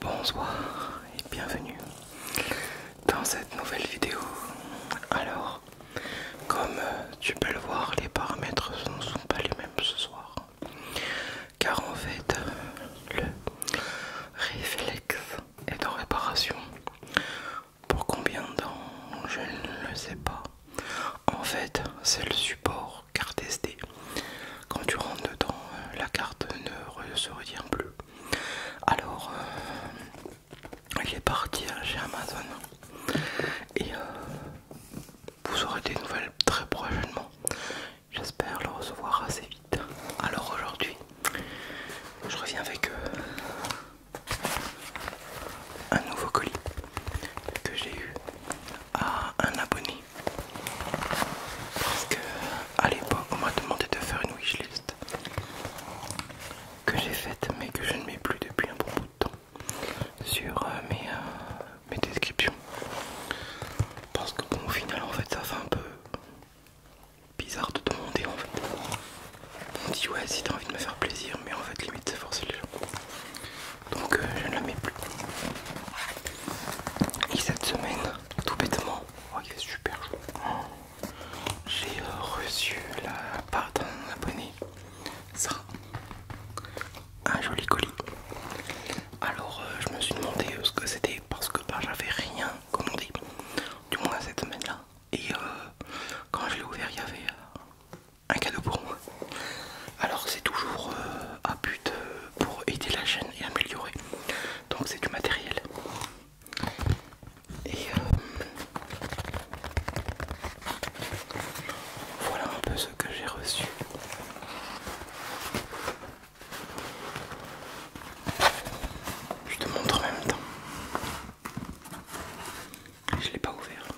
Bonsoir et bienvenue dans cette nouvelle vidéo. Alors, comme euh, tu peux le voir, les paramètres ne sont pas les mêmes ce soir. Car en fait, euh, le réflexe est en réparation. Pour combien de temps Je ne le sais pas. En fait, c'est le support carte SD. Quand tu rentres dedans, euh, la carte ne se retient plus. Alors, il est parti hein, chez Amazon et euh, vous aurez des nouvelles très prochainement. J'espère le recevoir assez vite. Alors aujourd'hui, je reviens avec euh, un nouveau colis que j'ai eu à un abonné parce que l'époque on m'a demandé de faire une wishlist que j'ai faite mais que je ne mets plus depuis un bon bout de temps sur euh, euh, mes, descriptions parce que bon au final en fait ça fait un peu bizarre de demander en fait on dit ouais si t'as envie de me faire plaisir mais en fait limite c'est forcé les gens donc euh, je ne la mets plus et cette semaine tout bêtement oh, il fait super chaud j'ai euh, reçu la part d'un abonné ça un joli colis alors euh, je me suis demandé euh, ce que c'était parce que ben, j'avais rien commandé du moins cette semaine là et quand je l'ai ouvert il y avait un cadeau pour moi alors c'est toujours à but pour aider la chaîne et améliorer donc c'est du matériel et euh, voilà un peu ce que j'ai reçu. Je te montre en même temps. Je l'ai pas ouvert.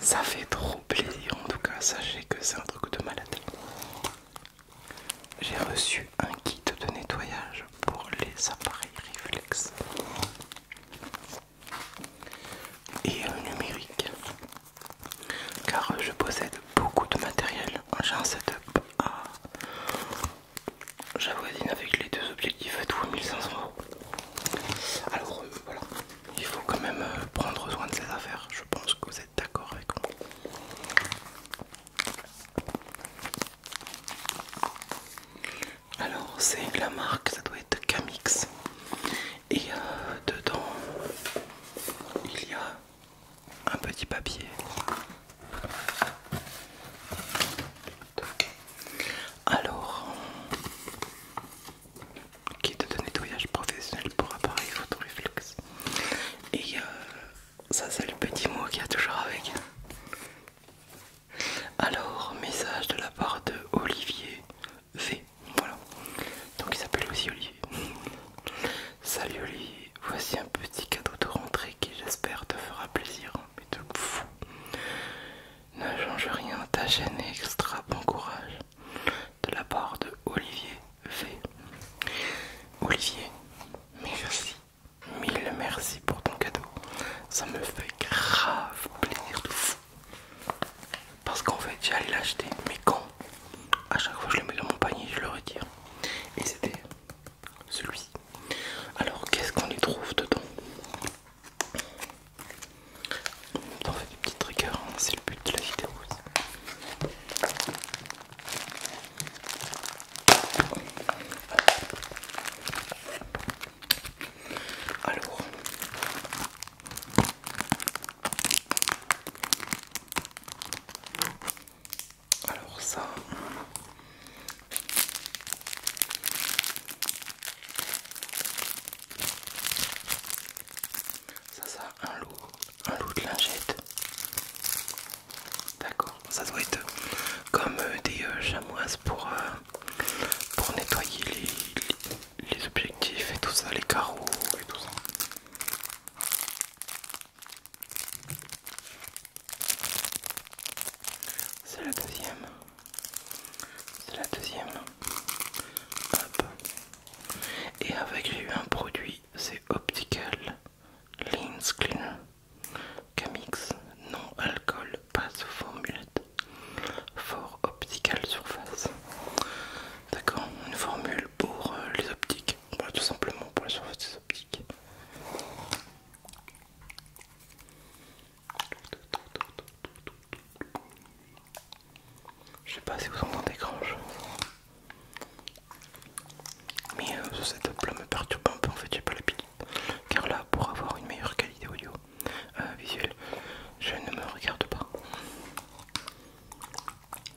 Ça fait trop plaisir en tout cas. Sachez que c'est un truc de malade. J'ai reçu un kit de nettoyage pour les appareils reflex et numérique car je possède beaucoup de matériel. J'ai un setup à j'avoisine avec les deux objectifs à euros. Alors euh, voilà, il faut quand même euh, prendre soin de ces affaires. Je pense que vous êtes d'accord avec moi. Alors c'est la marque, ça doit être Camix. Et euh, dedans, il y a un petit papier. Alors, kit de nettoyage professionnel pour appareil photo Et euh, ça c'est le petit mot qu'il y a toujours avec. Alors, message de la part de Olivier V. Voilà. Donc il s'appelle aussi Olivier. Salut Olivier, voici un petit cadeau de rentrée qui j'espère te fera plaisir. Mais de fou. Ne change rien, ta chaîne extra bon courage. De la part de Olivier fait. Olivier, merci. Mille merci pour ton cadeau. Ça me fait grave plaisir de fou. Parce qu'en fait, j'allais l'acheter, mais quand à chaque fois je le mets dans mon panier, je le retire. Et c'était celui. Alors, qu'est-ce qu'on y trouve dedans On fait des petits hein. c'est le but de la vidéo. Alors, alors ça. Ça, ça a un lot un loup de lingette. D'accord, ça doit être comme euh, des euh, chamoises pour, euh, pour nettoyer les, objectifs et tout ça, les carreaux et tout ça. C'est la deuxième. C'est la deuxième. Et avec j'ai eu un produit c'est Optical Lens Cleaner Camix non alcool, pas sous for Fort optical surface. D'accord, une formule pour euh, les optiques. Bah, tout simplement pour les surfaces des optiques. Je sais pas si vous entendez grand chose. Mais ce setup là me perturbe un peu en fait, j'ai pas l'habitude. Car là, pour avoir une meilleure qualité audio euh, visuelle, je ne me regarde pas.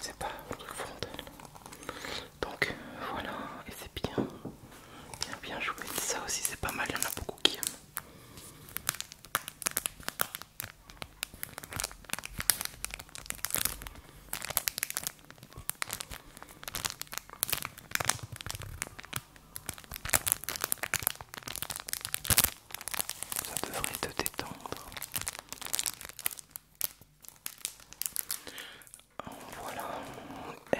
C'est pas le truc frontal. Donc voilà, et c'est bien, bien, bien joué. Ça aussi, c'est pas mal, il y en a beaucoup qui aiment. Ça devrait te détendre. Voilà.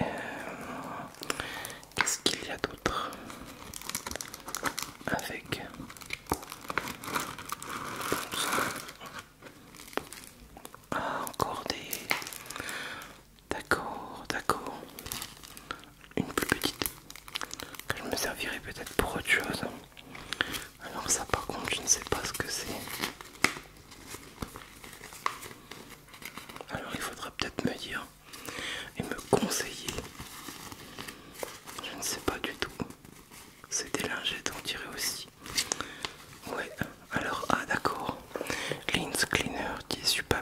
Euh, qu'est-ce qu'il y a d'autre avec ah, encore des... D'accord, d'accord. Une plus petite. Que je me servirai peut-être pour autre chose. Alors ça par contre je ne sais pas ce que c'est. Alors il faudra peut-être me dire et me conseiller je ne sais pas du tout. C'est des lingettes, on dirait aussi. Ouais, alors, ah d'accord. Lens Cleaner, tissu peur.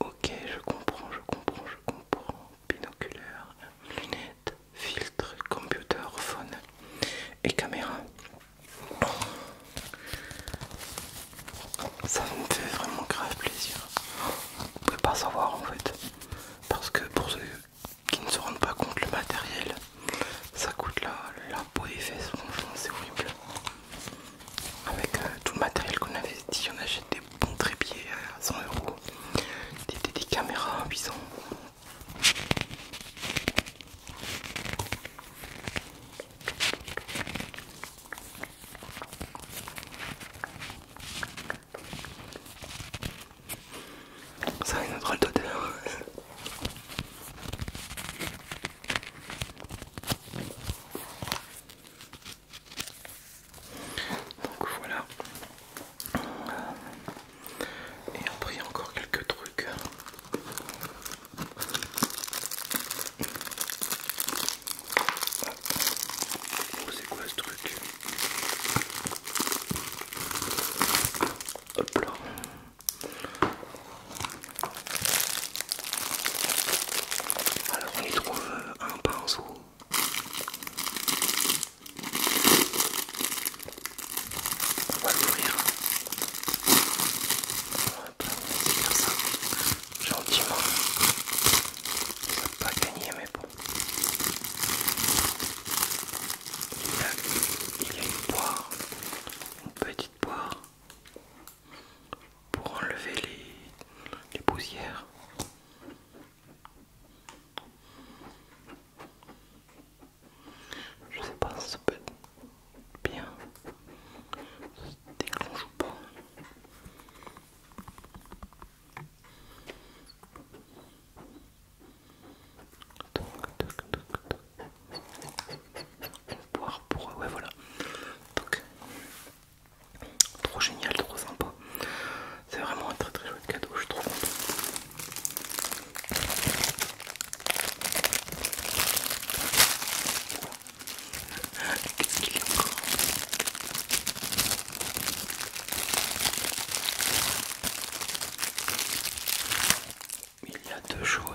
Ok, je comprends, je comprends, je comprends. Binoculaire, lunettes, filtre, computer, phone et caméra. Ça me fait vraiment grave plaisir. Vous peut pas savoir en fait parce que pour ceux qui ne se rendent pas compte, le matériel ça coûte la, peau et fesses, c'est horrible. Avec euh, tout le matériel qu'on investit, on achète des bons trépieds à 100 euros, des, caméras à 800. Ça a une drôle d'odeur. Donc voilà. Et après, il y a encore quelques trucs. Oh, c'est quoi ce truc Hop là. Alors on y trouve euh, un pinceau. On va l'ouvrir. On va ça gentiment. Ça va pas gagner, mais bon. Il y a, une poire, une petite poire pour enlever les, les poussières. Je sais pas si ça peut être bien dès que l'on joue pas. Donc, donc, pour ouais, voilà. Donc, trop génial, trop sympa. C'est vraiment un très très joli cadeau, je trouve. Qu'est-ce qu'il y a encore Il y a deux choses.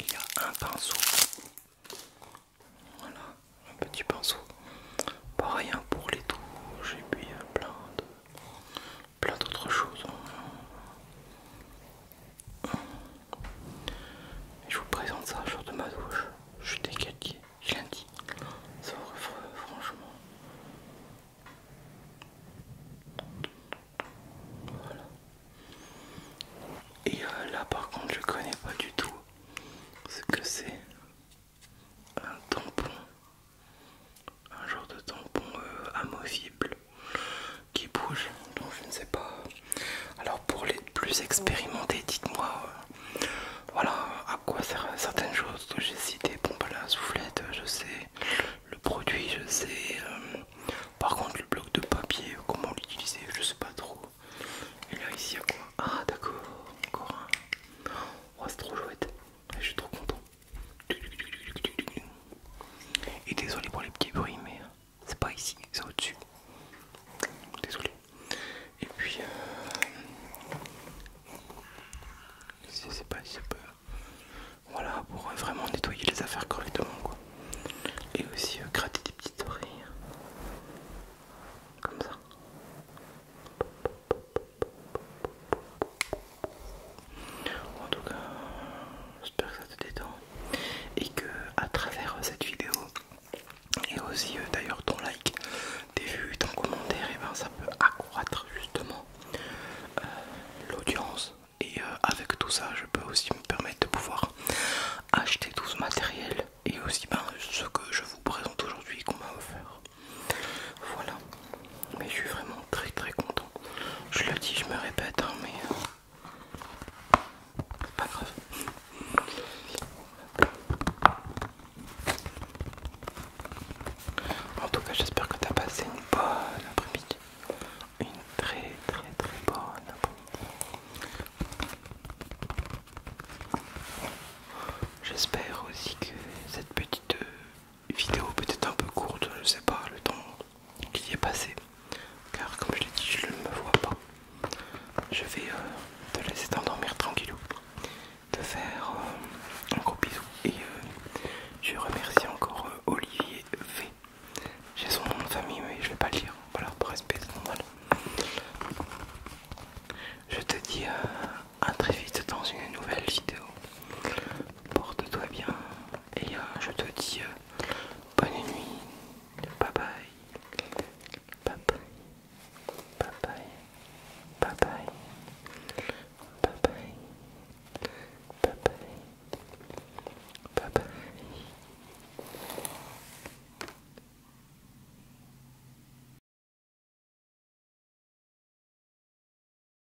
Il y a un pinceau. Voilà, un petit pinceau. Pareil pour les touches et puis euh, plein plein d'autres choses je vous présente ça, genre de ma douche. Je suis dégagé, je l'ai dit. Ça franchement. Et euh, là par contre je connais pas du tout ce que c'est un tampon. Un genre de tampon euh, amovible qui bouge donc je ne sais pas. Alors pour les plus expérimentés, dites-moi euh, voilà à quoi servent certaines choses que j'ai cité Bon bah la soufflette, je sais, le produit, je sais. Euh, par contre le bloc de papier, comment l'utiliser, je sais pas trop. Et là ici à quoi Ah d'accord, encore un. Oh c'est trop chouette, je suis trop content. Et désolé pour les petits bruits mais c'est pas ici, c'est au-dessus. Désolé. Et puis, euh, c'est pas, pas, voilà, pour euh, vraiment nettoyer les affaires correctement, quoi. Et aussi euh, gratter des petites oreilles, hein. comme ça. En tout cas, j'espère que ça te détend et que à travers cette vidéo et aussi euh, d'ailleurs ton like, tes vues, ton commentaire, et eh ben, ça peut accroître justement euh, l'audience. Et euh, avec tout ça, je peux aussi me permettre de pouvoir acheter tout ce matériel et aussi ben, ce que je vous présente aujourd'hui qu'on m'a offert. Voilà mais je suis vraiment très très content. Je le dis, je me répète, hein, mais euh, c'est pas grave. En tout cas, j'espère que tu as passé une bonne après-midi. Une très très très bonne après-midi. J'espère aussi que cette petite euh, vidéo peut-être un peu courte, je sais pas, le temps qui est passé. Car comme je l'ai dit, je ne me vois pas. Je vais euh, te laisser t'endormir tranquillou, te faire euh, un gros bisou. Et euh, je remercie encore Olivier V. J'ai son nom de famille, mais je vais pas le lire. Voilà, pour respect, Je te dis à très vite dans une nouvelle vidéo. Porte-toi bien, et euh, je te dis euh, bonne nuit, bye, bye bye, bye bye, bye bye bye.